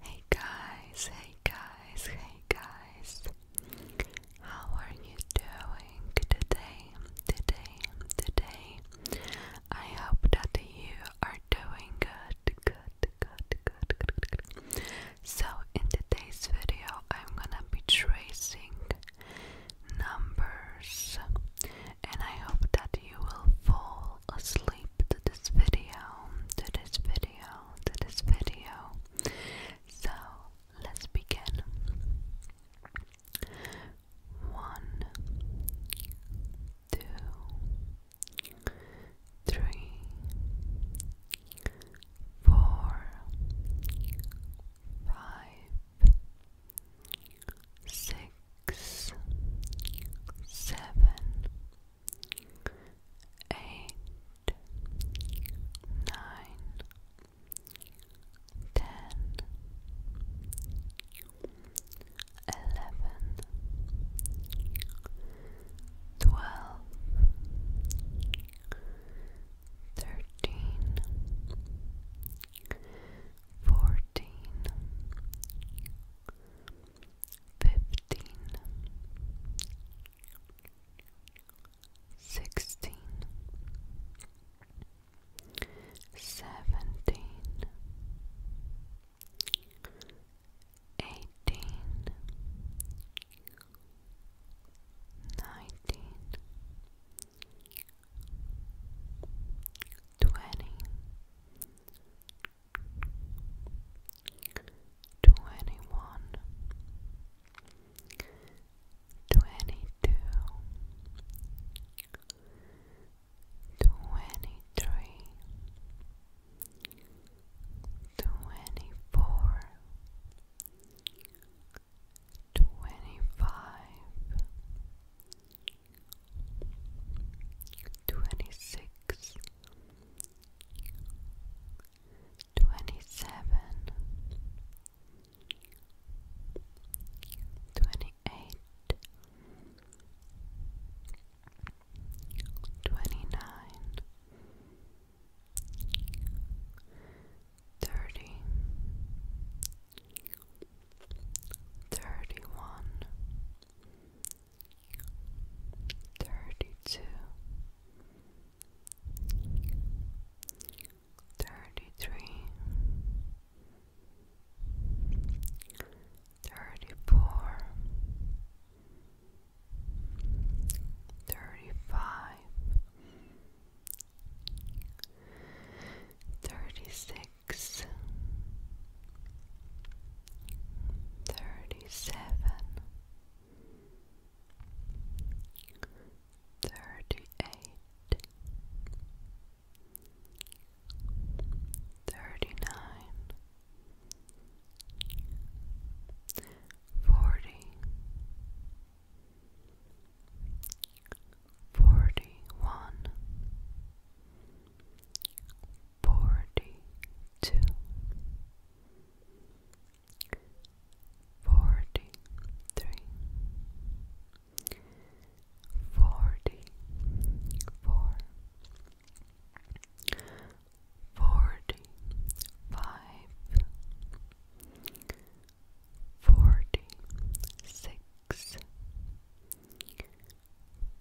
Hey guys, hey guys, hey guys. How are you doing today? Today, today. I hope that you are doing good, good, good, good, good, good. So, in today's video, I'm gonna be tracing numbers, and I hope that you will fall asleep to this video, to this video, to this video. So let's begin. One, two, three, four, five, six, seven eight, nine, ten, eleven, twelve, thirteen, fourteen fifteen, sixteen, seventeen, eighteen, nineteen, twenty. 21 22 23 24 twenty one, twenty two, twenty three, twenty four, twenty five twenty six, twenty seven, twenty eight, twenty nine, thirty. Thirty one, thirty-two, thirty-three, thirty-four, thirty-five, thirty-six six, thirty seven, thirty eight, thirty nine, forty. Forty one, forty-two, forty-three, forty-four, forty-five, forty-six. Forty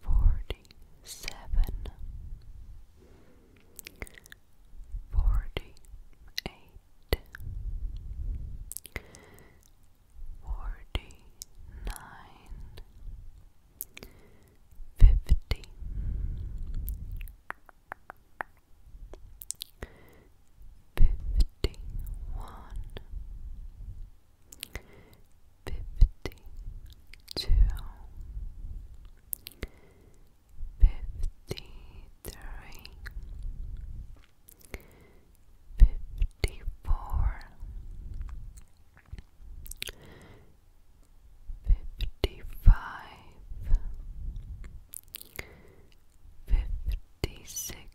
forty-seven, forty-eight, forty-nine, fifty, fifty-one. 51 fifty two fifty three fifty four fifty five fifty six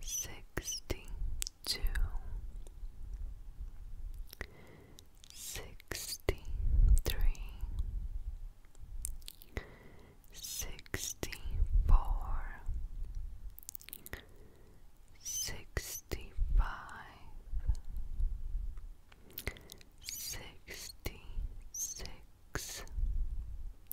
sixty two, sixty three, sixty four, sixty five, sixty six.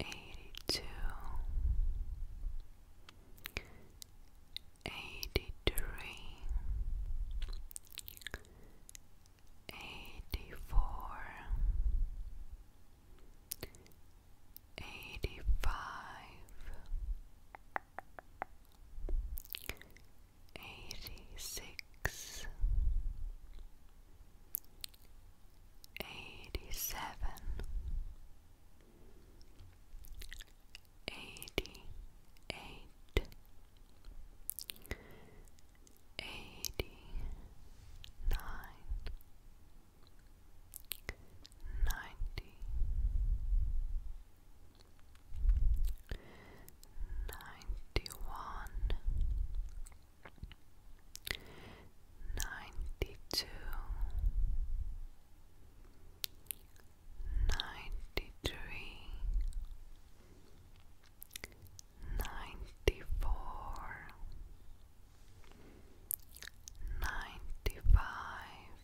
82 83 84 85 86 eighty seven, eighty eight, eighty nine, ninety, ninety one ninety two, ninety three, ninety four, ninety five,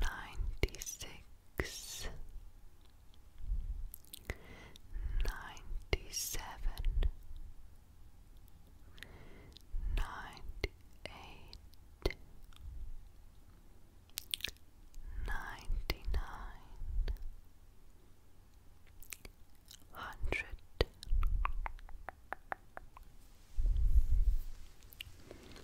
ninety six. 96 ninety seven, ninety eight, ninety nine, hundred.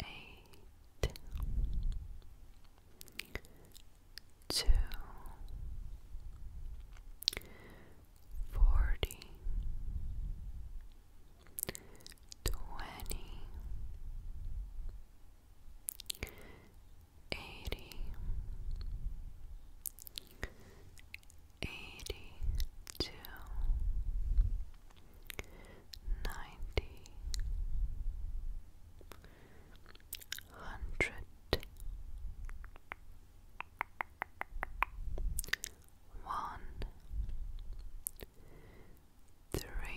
eight, two, forty, twenty, eighty, eighty two ninety, hundred, one, three,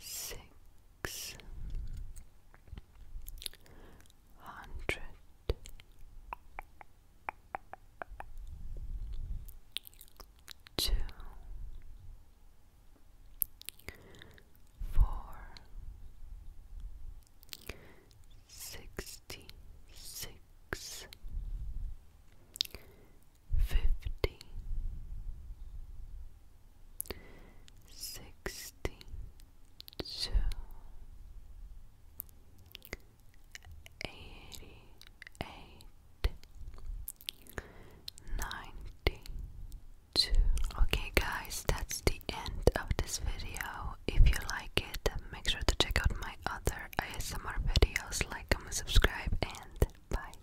six, hundred two, four, sixty six, fifty, sixty two. 88 Okay guys, that's the end of this video. If you like it, make sure to check out my other ASMR videos, like, comment, subscribe and bye.